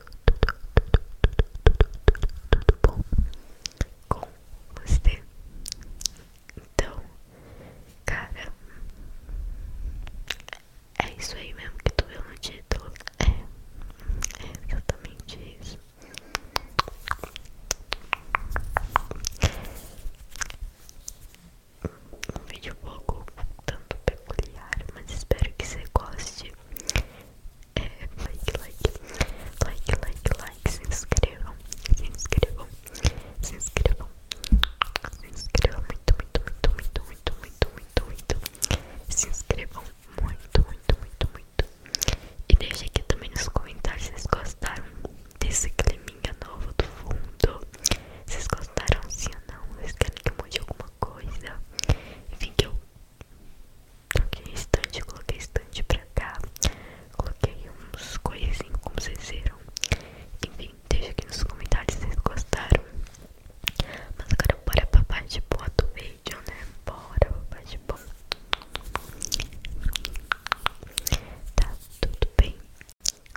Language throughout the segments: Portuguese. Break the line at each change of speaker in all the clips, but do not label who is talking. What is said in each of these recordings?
tudo bom com você? Então, cara, é isso aí mesmo que tu viu no título. É, é exatamente isso. Um vídeo pouco tanto peculiar, mas espero que você goste é like, like, like, like, like, se inscrevam, se inscrevam, se inscrevam, se inscrevam muito, muito, muito, muito, muito, muito, muito, muito, se inscrevam muito, muito, muito, muito. E deixe aqui também nos comentários se vocês gostaram desse climinha novo do fundo. Vocês gostaram sim ou não? Vocês querem que eu mude alguma coisa? Enfim, que eu Toquei estante, coloquei estante pra cá. Coloquei uns coisinhos, como vocês viram. Enfim, deixa aqui nos comentários se vocês gostaram. Mas agora bora papai de boa do vídeo, né? Bora papai de boa. Tá tudo bem.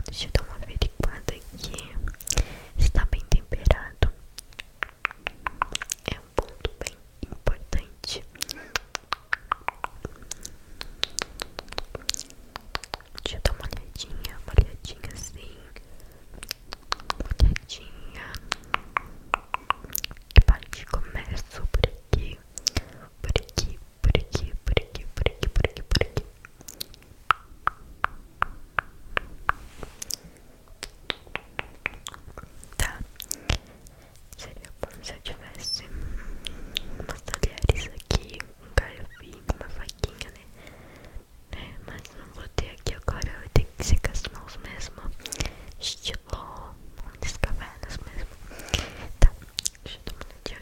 Deixa eu dar uma averiguada aqui. Está bem temperado. É um ponto bem importante. Deixa eu dar uma olhadinha, uma olhadinha assim. Uma olhadinha. Que parte começo por aqui. Por aqui, por aqui, por aqui, por aqui, por aqui, por aqui. Tá? Seria bom se eu tivesse umas talheres aqui, um garfinho, uma faquinha, né? É, mas não vou ter aqui agora, eu tenho que secar as mãos mesmo. Estilo muitas cavernas mesmo. Tá, deixa eu tomar um dia.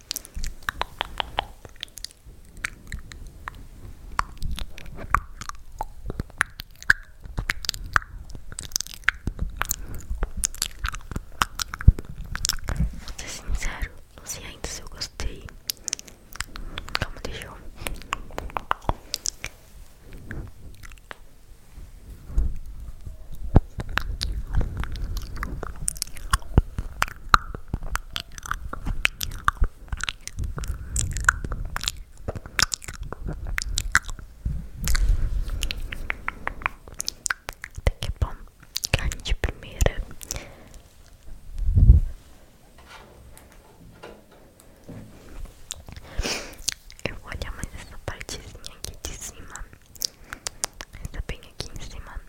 Vou ser sincero, não sei ainda se eu gostei. Calma, deixa eu. Até que bom, carne de primeira. Eu vou olhar mais essa partezinha aqui de cima. Essa bem aqui em cima.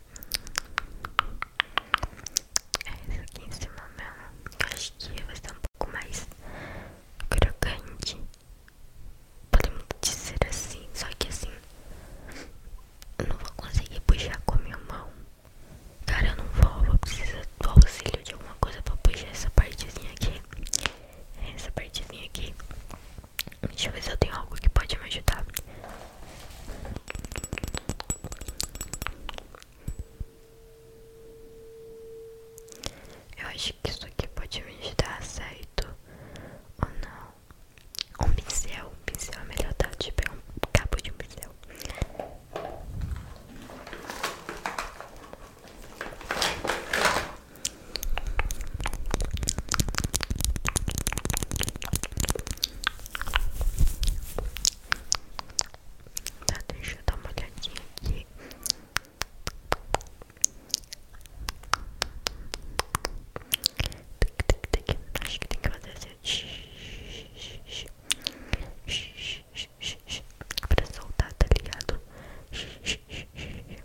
É, essa aqui em cima mesmo. Eu acho que vai ser um pouco mais crocante. Podemos dizer assim. Só que assim. Eu não vou conseguir puxar com a minha mão. Cara, eu não vou. Vou precisar do auxílio de alguma coisa pra puxar essa partezinha aqui. Essa partezinha aqui. Deixa eu ver se eu tenho algo que pode me ajudar.
Eu acho que isso aqui pode me ajudar, certo? Ou não? Um pincel, um pincel é melhor dar de tipo, é um cabo de um pincel. Tá, deixa eu dar uma olhadinha aqui. Acho que tem que fazer assim.
Pra soltar, tá ligado?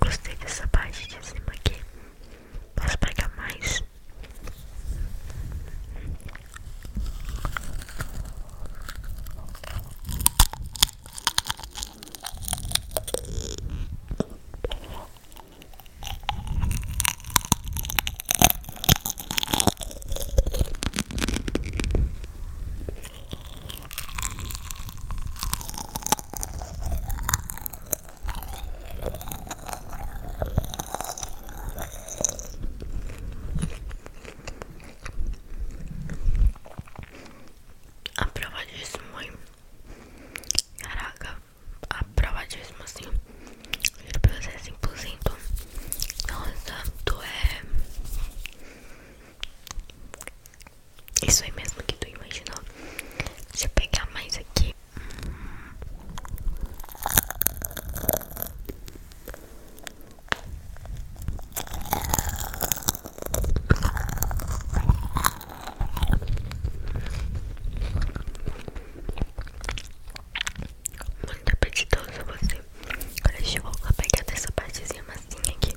Gostei dessa parte de cima aqui. Posso pegar mais?
Aprovadíssimo, mãe. Caraca, aprovadíssimo assim. Juro pra você, 100%. Nossa, tu é. Isso aí mesmo que tu imaginou. Deixa eu pegar mais aqui. Muito apetitoso você. Olha, deixa eu voltar a pegar dessa partezinha massinha aqui.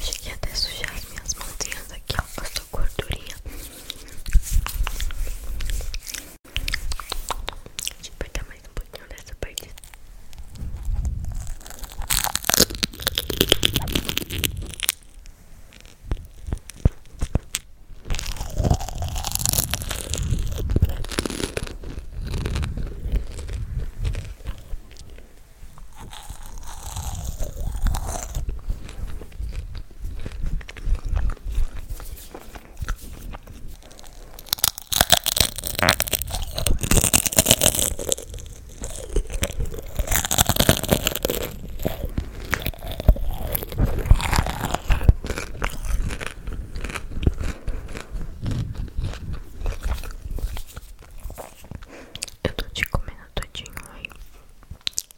Cheguei até a sujar as minhas mãozinhas aqui, ó. Eu tô gordurinha Deixa eu mais um pouquinho nessa parte eu tô te comendo todinho aí.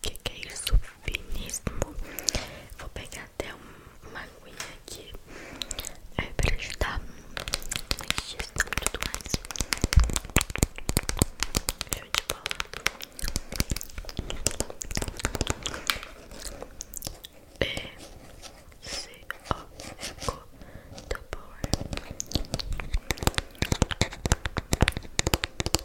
Que que é isso? finíssimo. Vou pegar até um, uma aguinha aqui é, pra ajudar na digestão e tudo mais. de bola. É, C O ficou do power.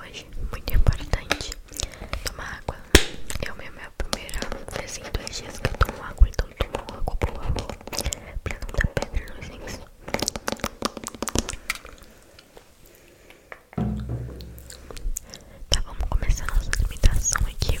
hoje, muito importante tomar água. Eu mesmo é a primeira vez em dois dias que eu tomo água, então tomo água, por favor, pra não dar pedra nos rins. Tá, vamos começar nossa limitação aqui.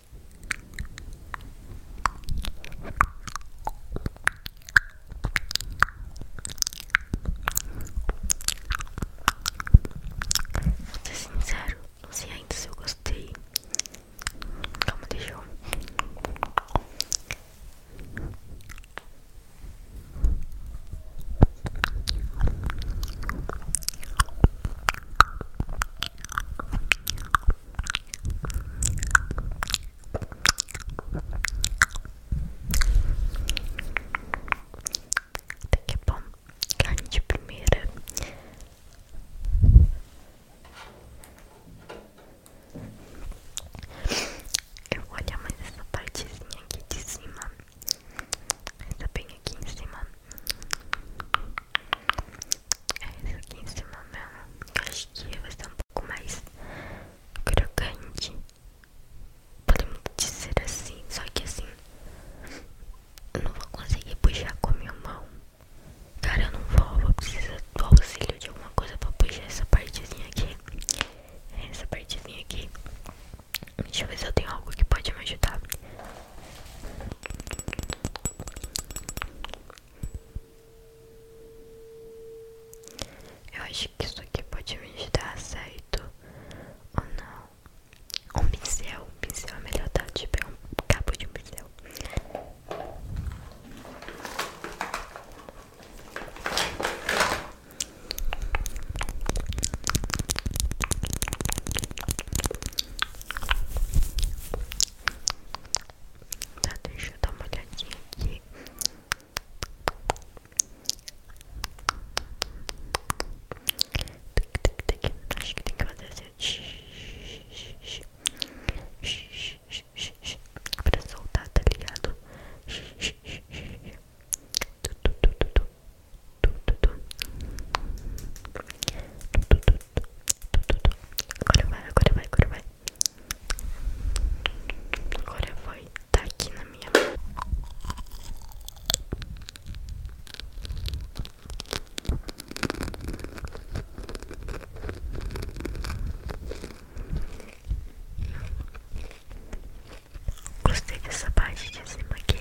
Vou ser sincero, não sei ainda se eu gostei. Calma, deixa eu. Até que é bom, carne de primeira. Eu vou olhar mais essa partezinha aqui de cima. Essa bem aqui em cima. É isso aqui em cima mesmo. acho que vai ser um pouco mais crocante. Podemos dizer assim, só que assim. Eu não vou conseguir puxar com a minha mão. Cara, eu não vou, vou precisar do auxílio de alguma coisa pra puxar essa partezinha aqui. Essa partezinha aqui. Deixa eu ver se eu tenho algo que pode me ajudar.
Eu acho que isso aqui pode me dar certo ou não. Um pincel, pincel é melhor dar, tipo, é um cabo de pincel. Tá, deixa eu dar uma olhadinha aqui. Acho que tem que fazer assim.
Pra soltar, tá ligado? Agora vai, agora vai, agora vai. Agora vai. Tá aqui na minha mão. Gostei dessa parte de cima aqui.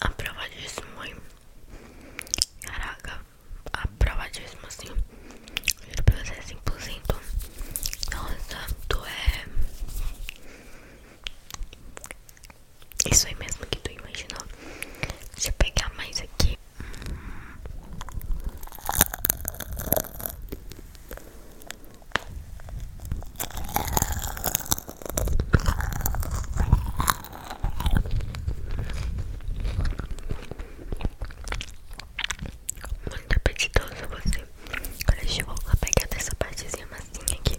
Aprovadíssimo, hein? Caraca, aprovadíssimo, assim. Juro pra você, 100%. Nossa, tu é. Isso aí mesmo que tu imaginou. Deixa eu pegar mais aqui. Muito apetitoso você. Agora eu vou pegar dessa partezinha massinha aqui.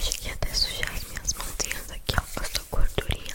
Cheguei até sujar as minhas mãozinhas aqui, ó, com gordurinha.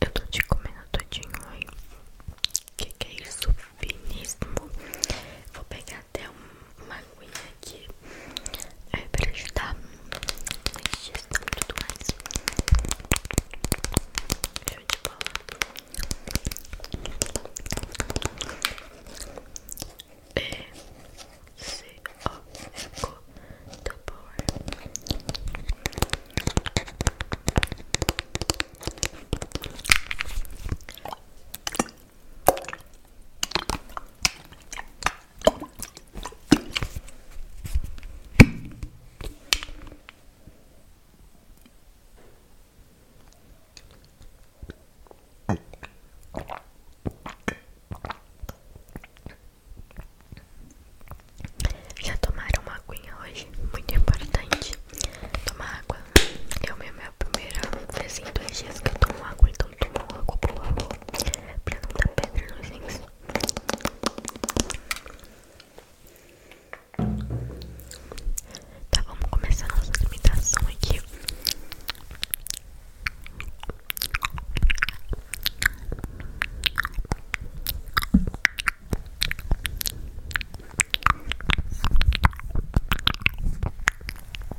Eu tô te comendo todinho aí. Que que é isso? Finíssimo. Vou pegar trouxe até uma aguinha aqui é, para ajudar na digestão tudo mais. Já tomaram uma aguinha hoje? Muito importante. Tomar água. Eu mesmo a primeira vez em dois dias que eu tomo água, então tomo água, por favor, pra não dar pedra nos rins. Tá, vamos começar nossa limitação aqui.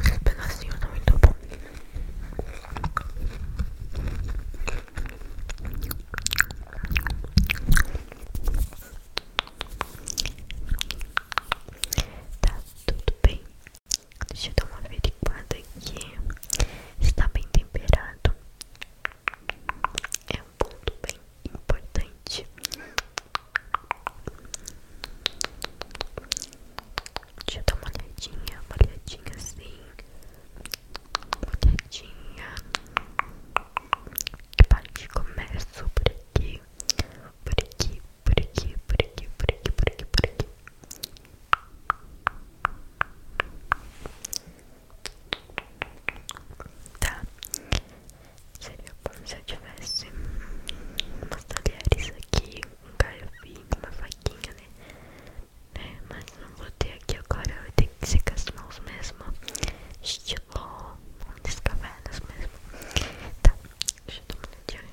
Esse pedacinho tá muito bom. Tá tudo bem. Deixa eu dar uma averiguada aqui. Está bem temperado. É um ponto bem importante. Deixa eu dar uma olhadinha, uma olhadinha assim. Uma olhadinha. Que parte começo por aqui. Por aqui, por aqui, por aqui, por aqui, por aqui, por aqui. Tá? Seria bom se eu tivesse umas talheres aqui, um galhofinho, uma faquinha, né? É, mas não vou ter aqui agora, eu tenho que secar as mãos mesmo. Estilo das cavernas mesmo. Tá, deixa eu dar uma olhadinha.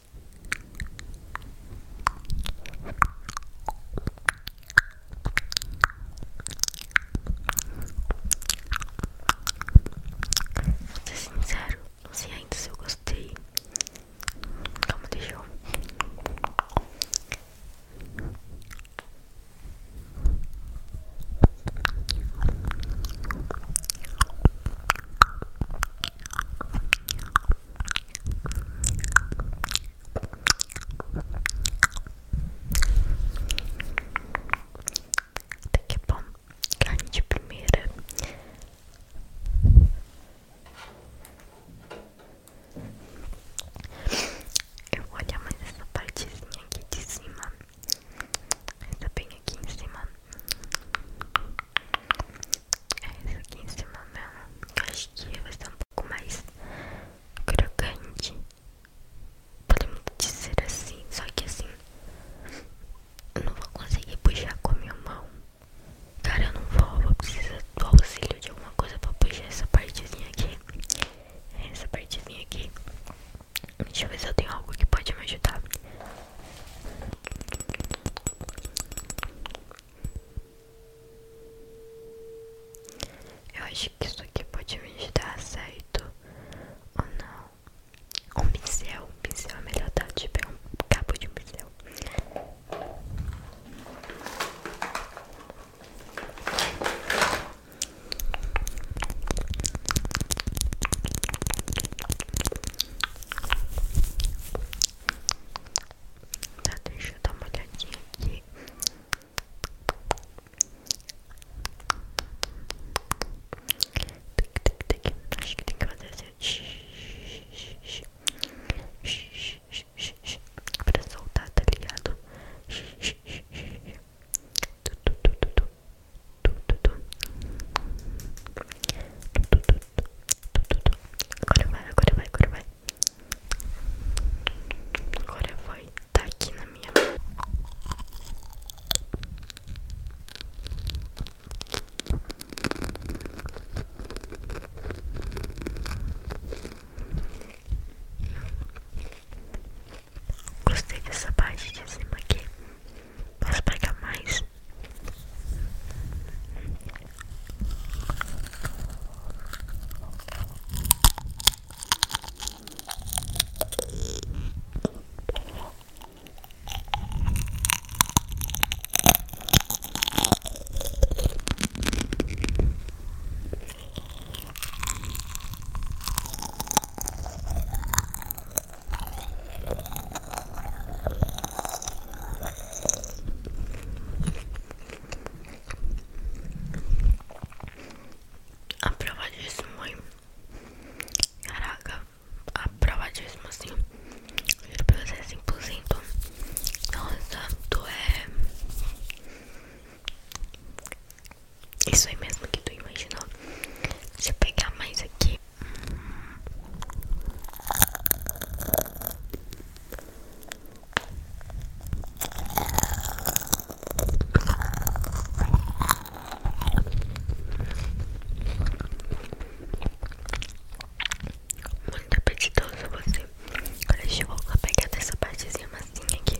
Vou ser sincero, não sei ainda se eu gostei. Calma, deixa eu. Até que é bom, carne de primeira. Eu vou olhar mais essa partezinha aqui de cima. Essa bem aqui em cima. É isso aqui em cima é mesmo. acho que vai ser um pouco mais crocante. Podemos dizer assim, só que assim. Eu não vou conseguir puxar com a minha mão. Cara, eu não vou, vou precisar do auxílio de alguma coisa pra puxar essa partezinha aqui. Essa partezinha aqui. Deixa eu ver se eu tenho algo que pode me ajudar.
Eu acho que isso aqui pode me dar certo ou não. Um pincel, pincel é melhor dar tipo é um cabo de pincel. Tá, deixa eu dar uma olhadinha aqui. Acho que tem que fazer assim.
Pra soltar, tá ligado? Agora vai, agora vai, agora vai. Agora vai. Tá aqui na minha mão. Gostei dessa parte de cima aqui. Posso pegar mais?
A Aprovadíssimo, mãe. Caraca, a aprovadíssimo assim. Juro pra você, 100%. Nossa, tu é. Isso aí mesmo que tu imaginou. Deixa eu pegar mais aqui. Muito apetitoso você. Agora eu vou pegar dessa partezinha massinha aqui.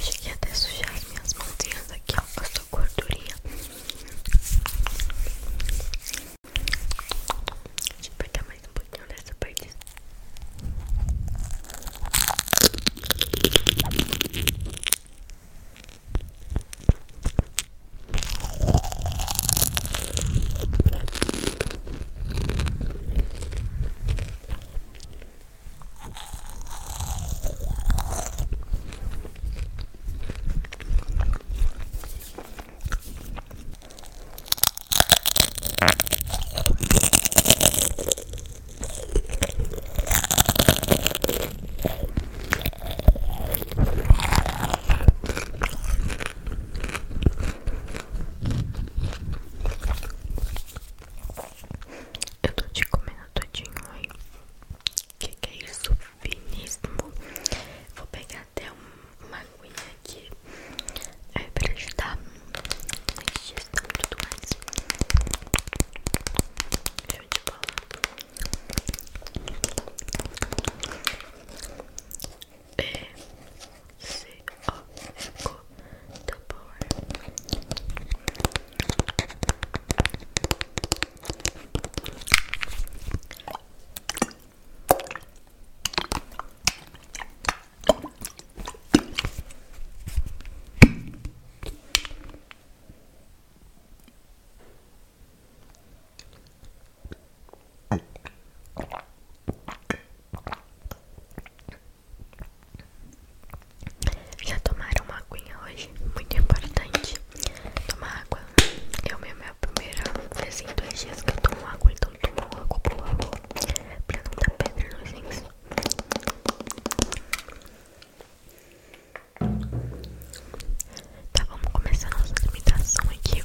Cheguei até sujar as minhas mãozinhas aqui, ó, com gordurinha. Deixa eu apertar mais um pouquinho nessa parte. Eu tô te comendo todinho aí. Que que é isso? Finíssimo. Vou pegar tem até uma aguinha aqui é pra ajudar na digestão e tudo mais. Show de bola. E é, se ó, já tomaram uma aguinha hoje? Muito importante tomar água. Eu mesmo é a primeira vez em dois dias que eu tomo água, então tomo água, por favor, pra não dar pedra nos Tá, vamos começar nossa limitação aqui.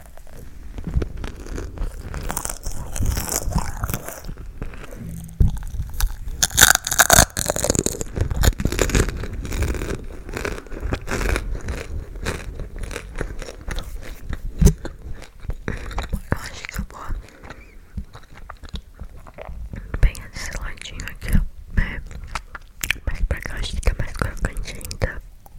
Eu acho que eu vou pegar desse ladinho aqui, ó. Né? Mas pra cá acho que é mais crocante ainda.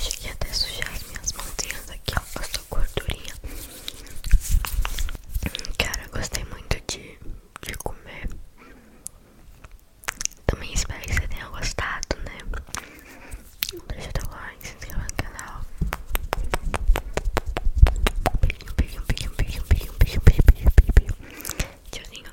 Cheguei até sujar minhas mãozinhas aqui, ó, com essa gordurinha. Cara, eu gostei muito de, de comer também espero que você tenha gostado, né? Deixa o teu like, se inscreva no canal. Beijo, beijo, beijo, beijo, beijo, beijo, beijo, beijo, beijo, tchau Tchauzinho.